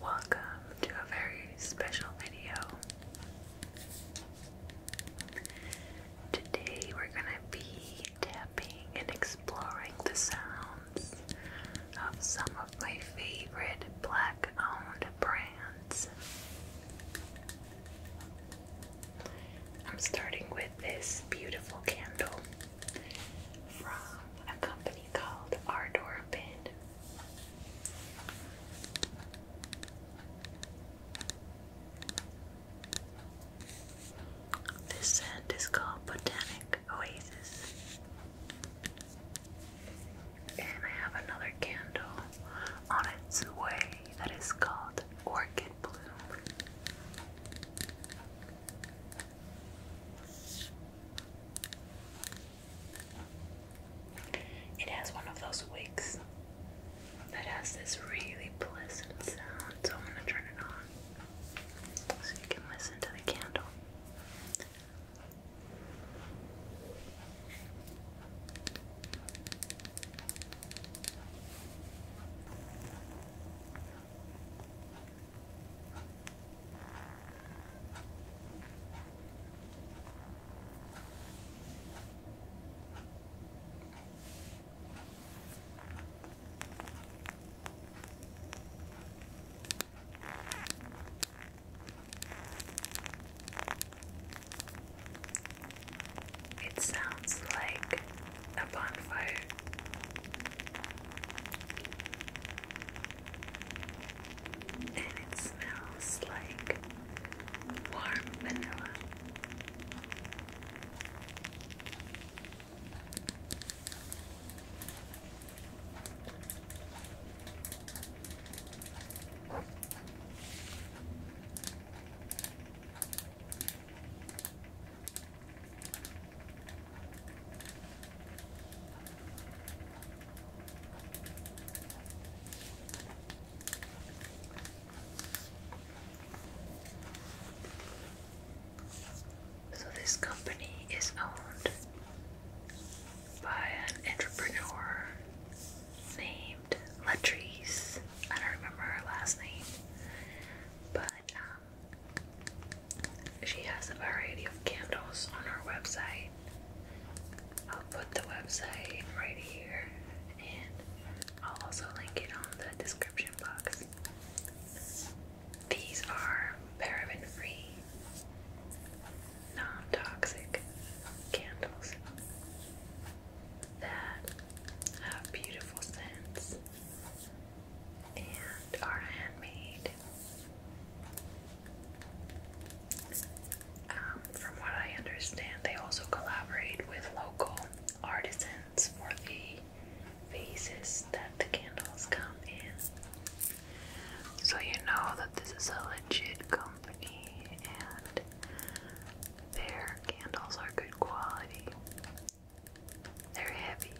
Welcome to a very special video. Today we're going to be tapping and exploring the sounds of some of my favorite black owned brands. I'm starting with this beautiful candle from a company called Ardor This scent is called Botanic Oasis. And I have another candle on its way that is called Orchid Bloom. It has one of those wigs that has this really pleasant sound, so I'm going to turn it on so you can listen to the candle. It sounds like a bonfire. And it smells like warm vanilla. So, this company is owned by an entrepreneur named Latrice. I don't remember last name, but um, she has a variety of candles on her website. I'll put the website right here and I'll also link it on the description box. These are paraben free, non toxic candles that have beautiful scents and are handmade. Um, from what I understand, they also collaborate with local artisans for the vases that the candles come in. So you know that this is a legit company and their candles are good quality. They're heavy.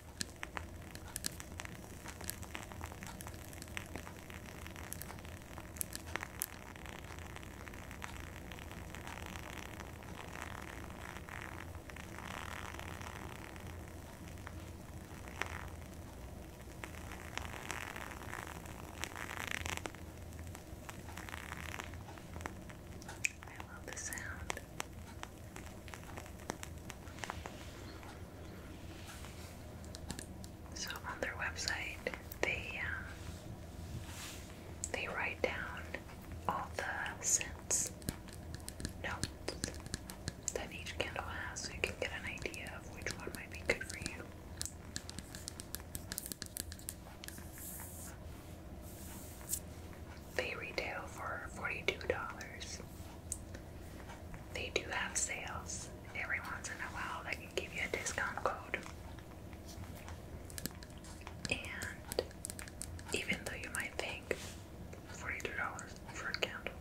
I love the sound. So on their website, they uh, they write down all the scents notes that each candle has, so you can get an idea of which one might be good for you. They retail for forty-two dollars. They do have sales every once in a while that can give you a discount code. And even though you might think $42 for a candle,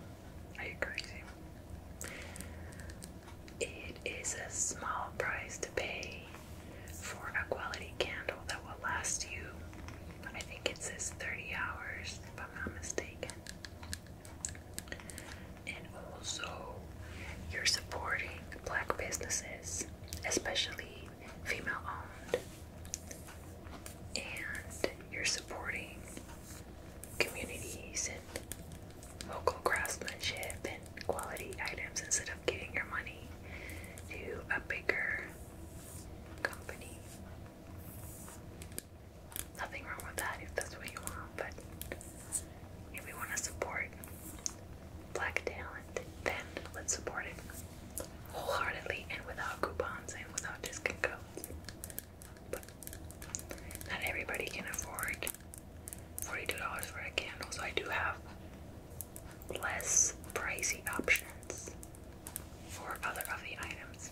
are you crazy? It is a small price to pay for a quality candle that will last you I think it says 30 hours, if I'm not mistaken. And also, you're supporting black businesses, especially female owned, and you're supporting communities and local craftsmanship and quality items instead of giving your money to a bigger company. Nothing wrong with that if that's what you want, but if we want to support black talent, then let's support it wholeheartedly and without coupons and without discount codes. But not everybody can afford $42 for a candle, so I do have less pricey options for other of the items.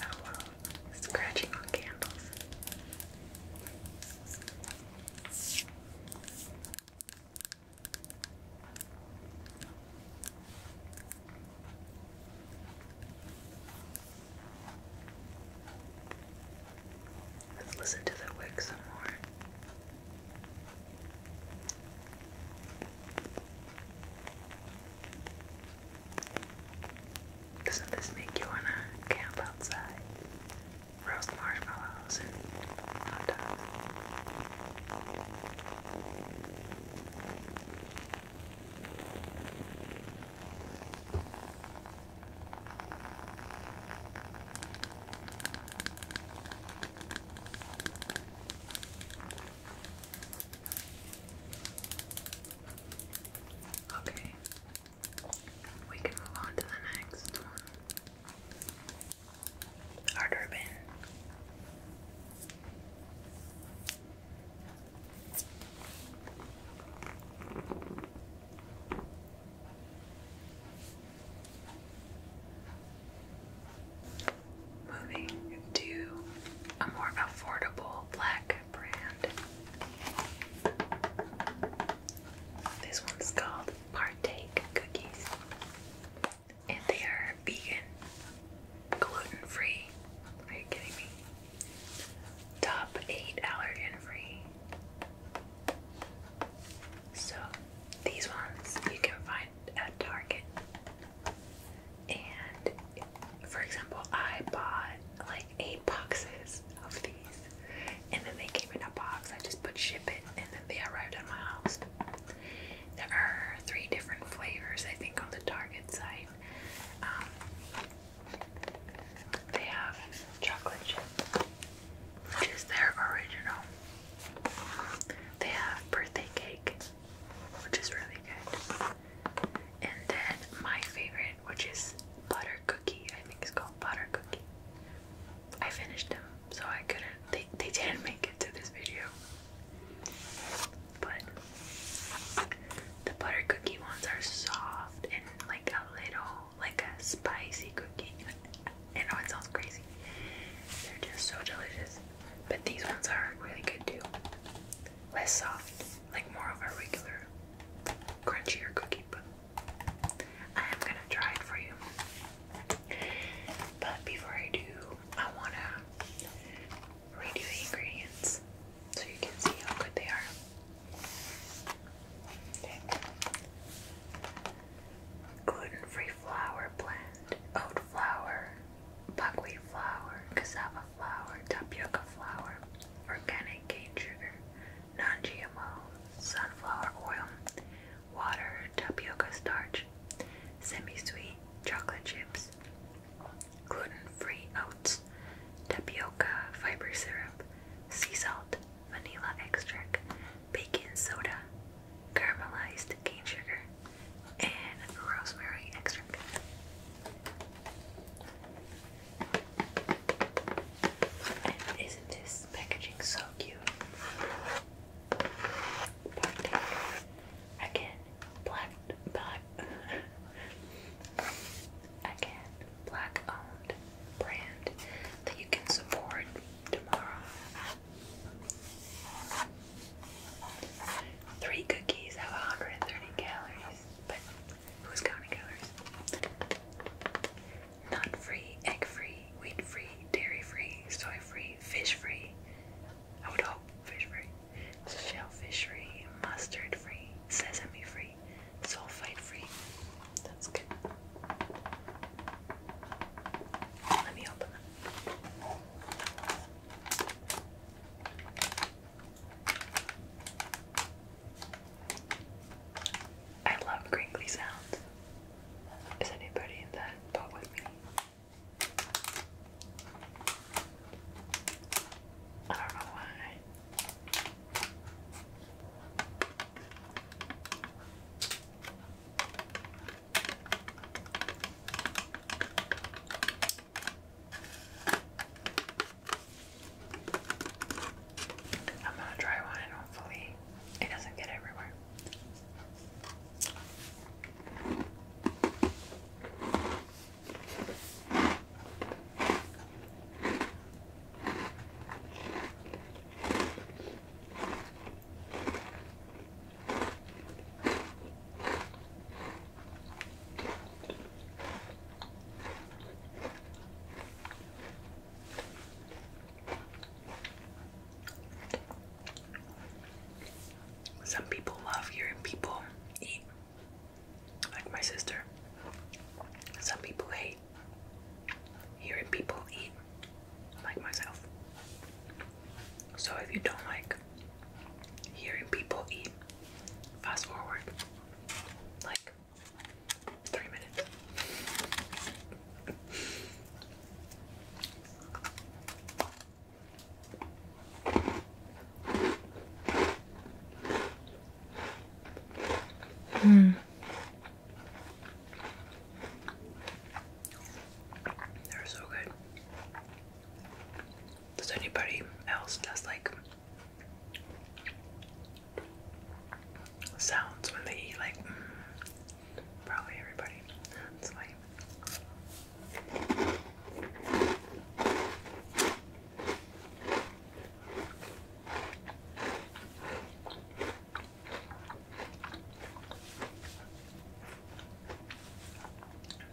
Oh wow, scratching on candles. Let's listen to the wick some more. Doesn't this make you wanna camp outside? Roast marshmallows and hot dogs. Okay, we can move on to the next one. Art Urban moving to a more affordable black brand. This one's called Partake Cookies, and they are vegan, gluten free. Are you kidding me? Top 8 allergen free. So, these ones you can find at Target. And for example, I bought like eight boxes of these, and then they came in a box. I just put ship it, and then they arrived at my house. There are three different flavors, I think, on the Target site. Um, they have chocolate chip, which is their original. They have birthday cake, which is really good. And then my favorite, which is butter cookie, I think it's called butter cookie. I finished them, so I couldn't. They they didn't make it to this video, but the butter cookie ones are soft and like a little like a spicy cookie. I know it sounds crazy. They're just so delicious. But these ones are really good too. Less soft, like more of a regular crunchier cookie, but I am gonna try it for you. But before I do, I wanna read you the ingredients so you can see how good they are. Okay. Gluten free flour blend oat flour, buckwheat flour, cassava flour, tapioca flour, organic cane sugar, non-GMO, sunflower oil, water, tapioca starch, semi-sweet chocolate chips, gluten-free oats, tapioca fiber syrup, sea salt, vanilla extract, baking soda, caramelized cane sugar, and rosemary extract. isn't this packaging so cute? Again, black, black, again, black owned brand that you can support tomorrow. Three cookies have 130 calories, but who's counting calories? Nut free, egg free, wheat free, dairy free, soy free, fish free. I would hope fish free. Shellfish free, mustard free, sesame free, sulfite free. That's good. Let me open I love crinkly sounds. Is anybody in that boat with me? I don't know why. I'm gonna try one hopefully it doesn't get everywhere. Some people love hearing people eat, like my sister. Some people hate hearing people eat like myself. So if you don't like hearing people eat, fast forward like three minutes. Hmm. They're so good. Does anybody else does like sounds when they eat? Like mm, probably everybody. That's why.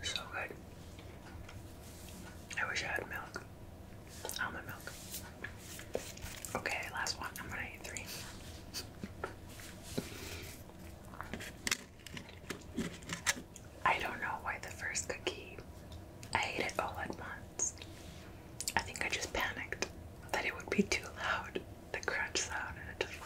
So good. I wish I had milk. Almond milk. Okay, last one. I'm gonna eat three. I don't know why the first cookie. I ate it all at once. I think I just panicked that it would be too loud the crunch sound and it just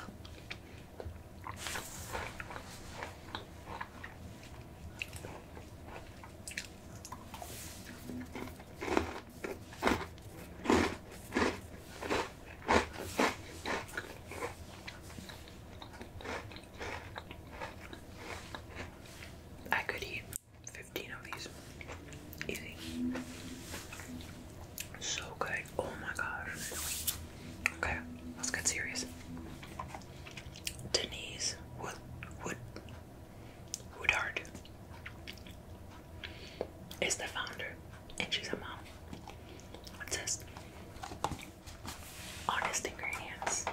I could eat 15 of these. Easy. So good. Oh my gosh. Okay, let's get serious. Denise Wood Wood Woodard is the founder and she's a mom. What's this? Honest ingredients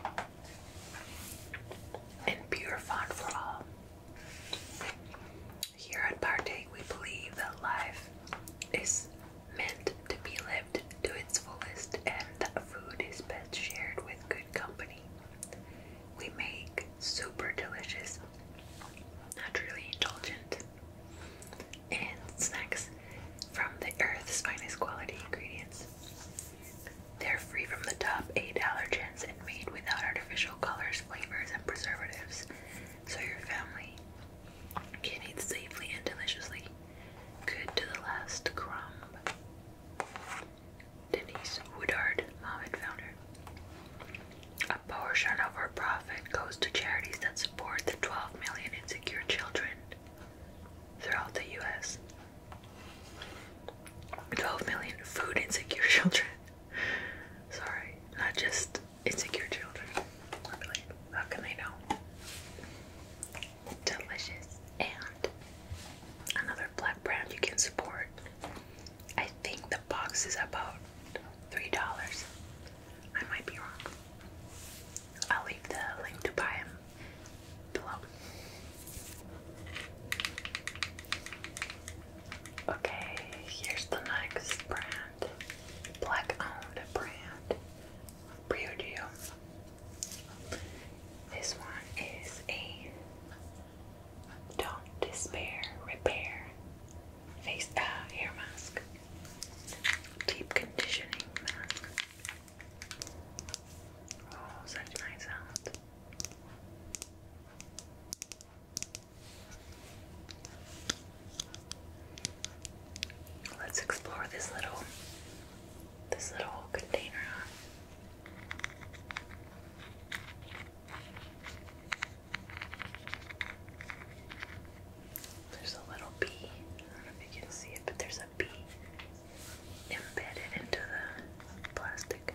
and pure font for all. Here at Partake, we believe that life is meant to be lived to its fullest and that food is best shared with good company. We make super delicious, naturally indulgent, and snacks from the earth's finest quality ingredients. They're free from the top eight allergens and made without artificial colors, flavors, and preservatives, so your family can eat safely and deliciously. Good to the last crumb. Denise Woodard, mom and founder. A portion of her profit goes to charities that support the 12 million insecure children throughout the U.S. 12 million food insecure children. Sorry, not just it's children will children. how can they know? Delicious. And another black brand you can support. I think the box is about $3. I might be wrong. I'll leave the link to buy them below. Okay, here's the next brand black owned brand Brio This one is a Don't Despair Repair Face uh, Hair Mask Deep Conditioning Mask. Oh, such nice sound. Let's explore this little this little container. There's a little bee. don't know if you can see it, but there's a embedded into the plastic.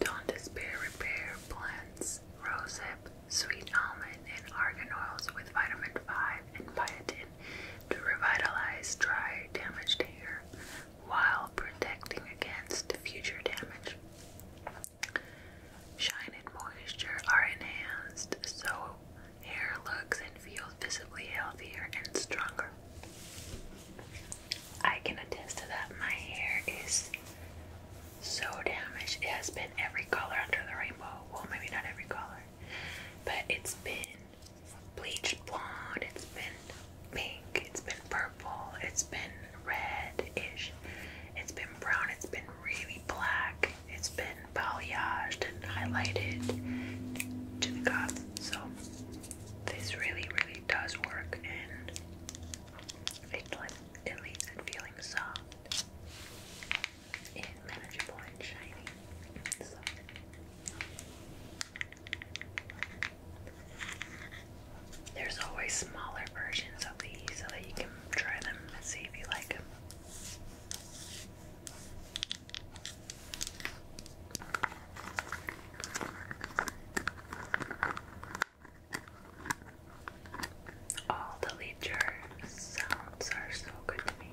Don't despair, repair, blends, rosehip, sweet almond, and argan oils with vitamin 5 and biotin to revitalize dry, damaged hair while protecting against future damage. Shine and moisture are enhanced so hair looks and feels visibly healthier and stronger. I can attest to that. My hair is so damaged. It has been every color under the rainbow. Well, maybe not every color, but it's been bleached blonde, it's been pink, it's been purple, it's been redish. it's been brown, it's been really black, it's been balayaged and highlighted to the goth. So this really, really does work and it, it leaves it feeling soft and manageable and shiny. So there's always smaller versions of these so that you can try them and see if you like them. All the lead jar sounds are so good to me.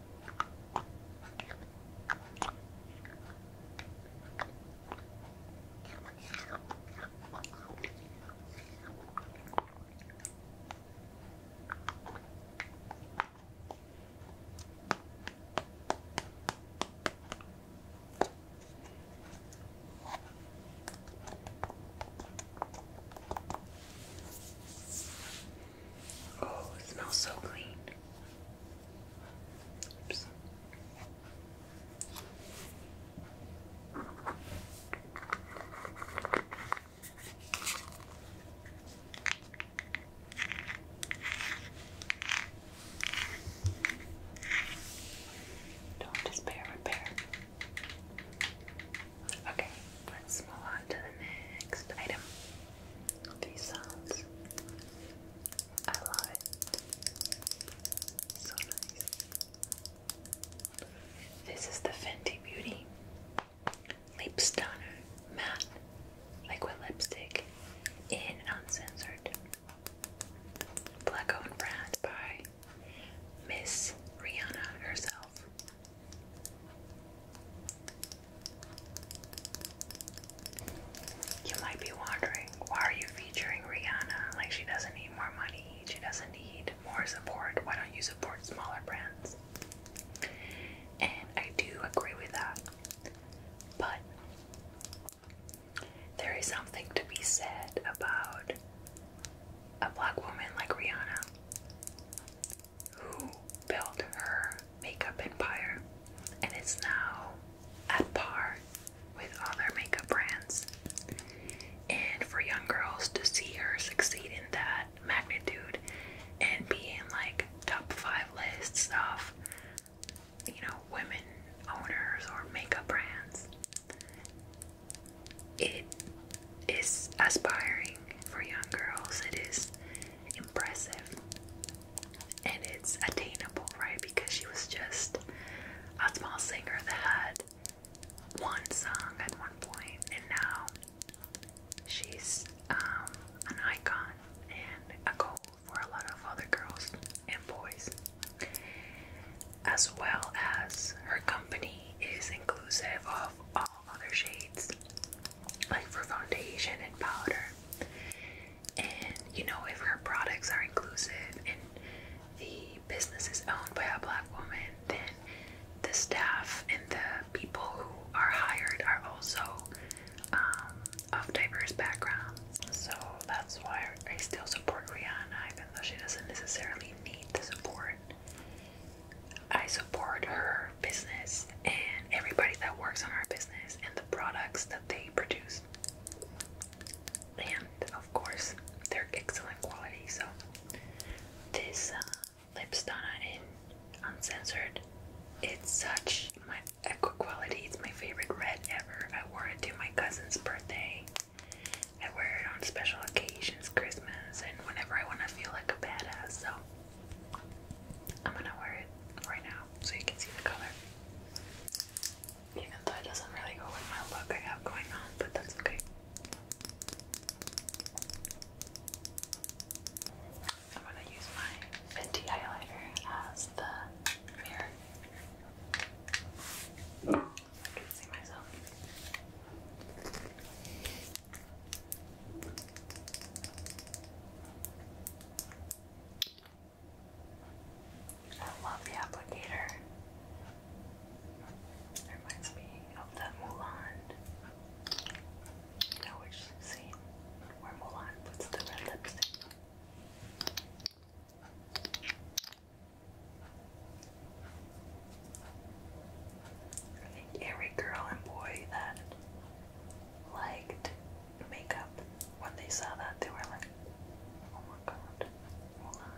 Oh, it smells so clean. Oops. Don't despair, repair. Okay, let's move on to the next item these sounds. I love it. So nice. This is the Fenty Beauty Lip Stunner Matte Liquid Lipstick in Uncensored. Black owned by Miss Rihanna herself. You might be wondering, why are you featuring Rihanna? Like, she doesn't need more money, she doesn't need more support. Why don't you support smaller brands? And I do agree with that. But there is something to be said about a black woman like Rihanna who built her makeup empire and is now at par with other makeup brands. And for young girls to see her succeed in that magnitude and be in like top five lists of, you know, women owners or makeup brands, it is aspiring for young girls. It is impressive and it's attainable, right? Because she was just a small singer that had one song at one point, and now she's um, an icon and a goal for a lot of other girls and boys. As well as her company is inclusive of all other shades like for foundation and powder. And you know, if her products are inclusive and the business is owned by a black woman, then the staff and the people who are hired are also um, of diverse backgrounds. So that's why I still support Rihanna, even though she doesn't necessarily need the support. I support her business and everybody that works on our business and the products that they produce. And of course, they're excellent quality. So, this uh, Lipstana in Uncensored, it's such my eco quality. It's my favorite red ever. I wore it to my cousin's birthday. I wear it on special occasions, Christmas, and whenever I want to feel like a badass. So, I'm gonna wear it right now so you can see the color. Even though it doesn't really go with my look I have going on, but that's okay. I'm gonna use my Fenty highlighter as the mirror. So I see myself. I love the applicator. It reminds me of the Mulan. You know which scene where Mulan puts the red lipstick. every girl and boy that liked makeup. When they saw that, they were like, oh my god, hold on.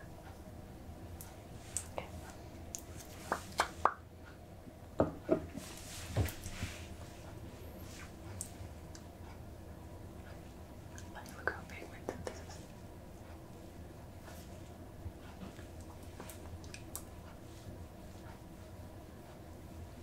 Like, look how pigmented this is.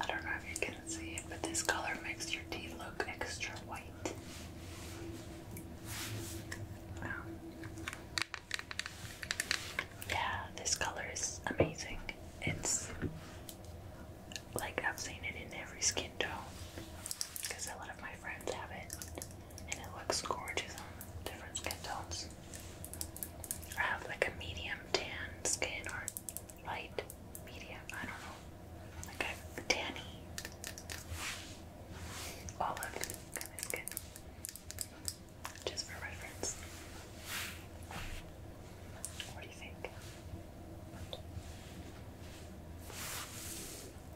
I don't know if you see it, but this color makes your teeth look extra white. Yeah, this color is amazing. It's like I've seen it in every skin tone because a lot of my friends have it and it looks gorgeous on different skin tones. I have like a medium tan skin or light, medium, I don't know. Like a tanny. Olive kind of skin. Just for reference. What do you think?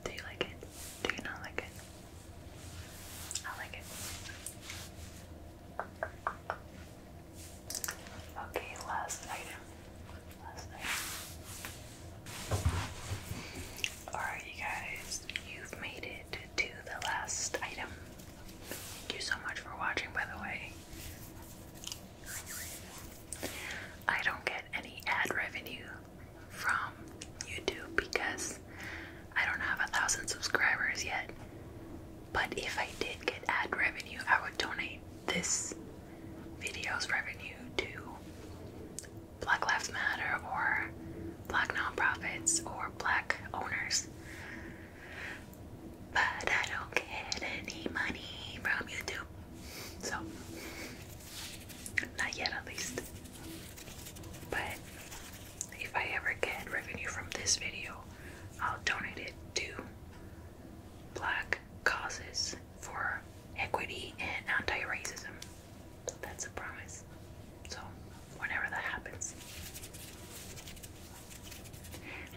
Do you like it? Do you not like it? I like it. Okay, last item. Last item. Alright, you guys, you've made it to the last item. Thank you so much for watching, by the way. I don't get any ad revenue from YouTube because I don't have a thousand subscribers yet. But if I did get ad revenue, I would donate this videos revenue to Black Lives Matter or black nonprofits or black owners. But I don't get any money from YouTube. So, not yet at least. But if I ever get revenue from this video, I'll donate it to black causes for equity and anti-racism. That's a promise. So whenever that happens.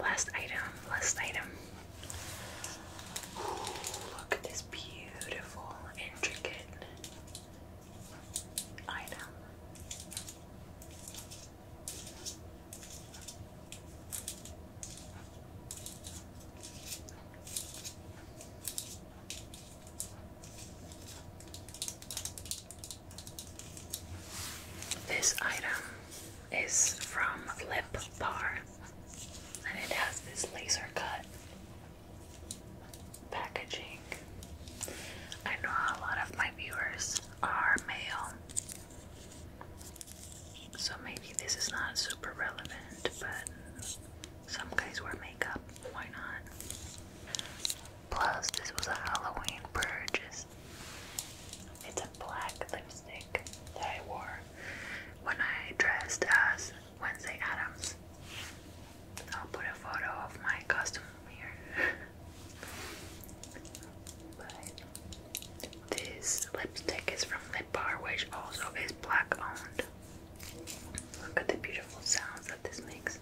Last item, last item. look at this beautiful, intricate item. This item is from Lip Bar and it has this laser cut packaging. I know a lot of my viewers are male so maybe this is not super relevant, but some guys wear makeup. Why not? Plus, this was a Halloween purchase. It's a black lipstick that I wore when I dressed as Wednesday Adams. I'll put a photo of my costume here. but this lipstick is from Lip Bar, which also is black owned. Look at the beautiful sounds that this makes.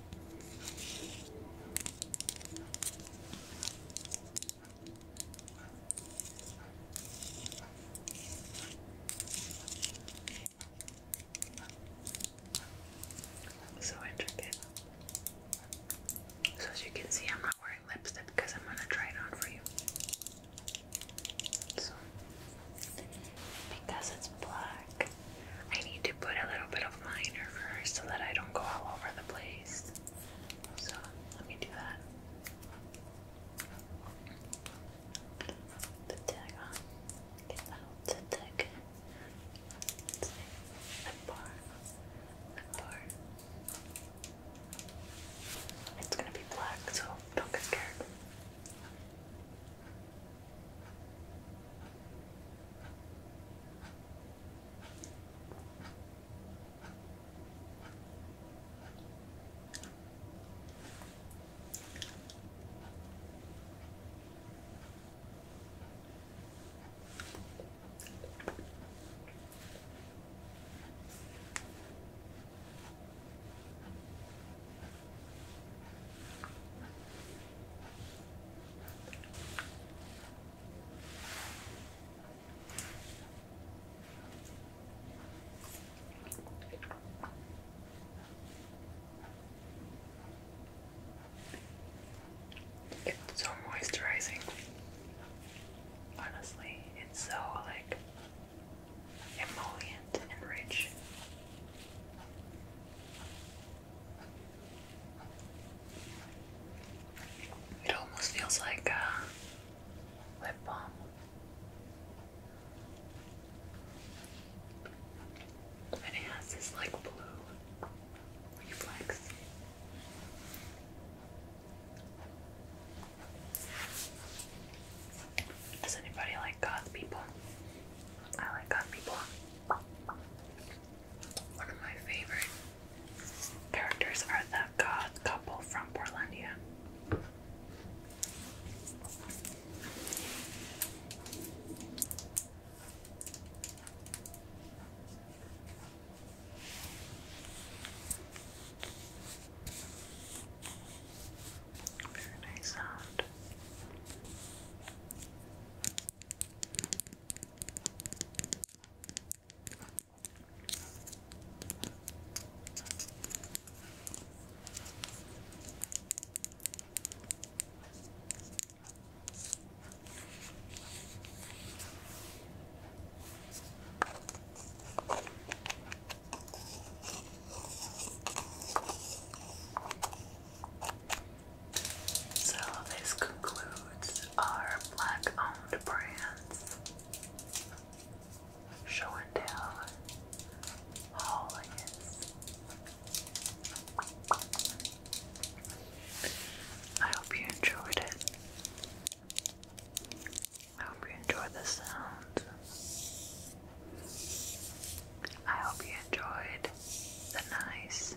So intricate. So as you can see, I'm not wearing lipstick because I'm gonna try it on for you. So because it's black, I need to put a little bit of liner first so that I don't go all over the place. So let me do that. The tag on. Get that little tag. It's gonna be black, so don't get scared. It's so moisturizing honestly. It's so like emollient and rich. It almost feels like a lip balm. And it has this like blue reflex. Does anybody like goth people? I like goth people. One of my favorite characters are the God couple from Portlandia. Very nice sound. So this concludes our black-owned brands. Show and tell, haulians. I hope you enjoyed it. I hope you enjoy the sounds. I hope you enjoyed the nice,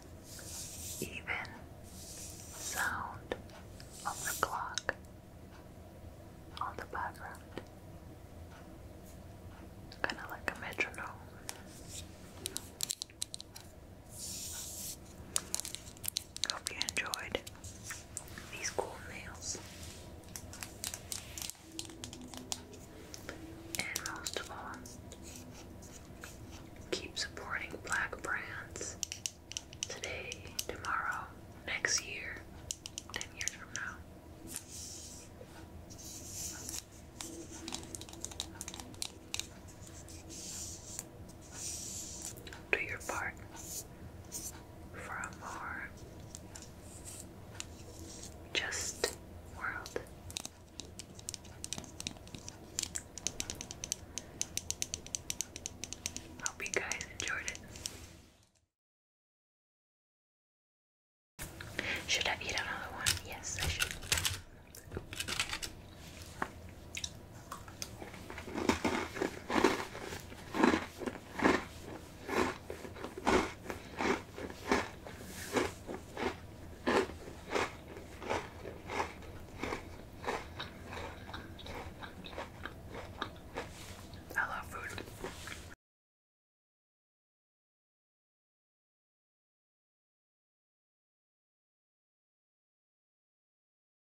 even sound of the clock on the background. Kind of like a metronome. Hope you enjoyed these cool nails. And most of all, keep supporting black brands today, tomorrow, next year, 10 years from now. Do your part for a more just world. Hope you guys enjoyed it. Should I eat another one? Yes, I should. I love food.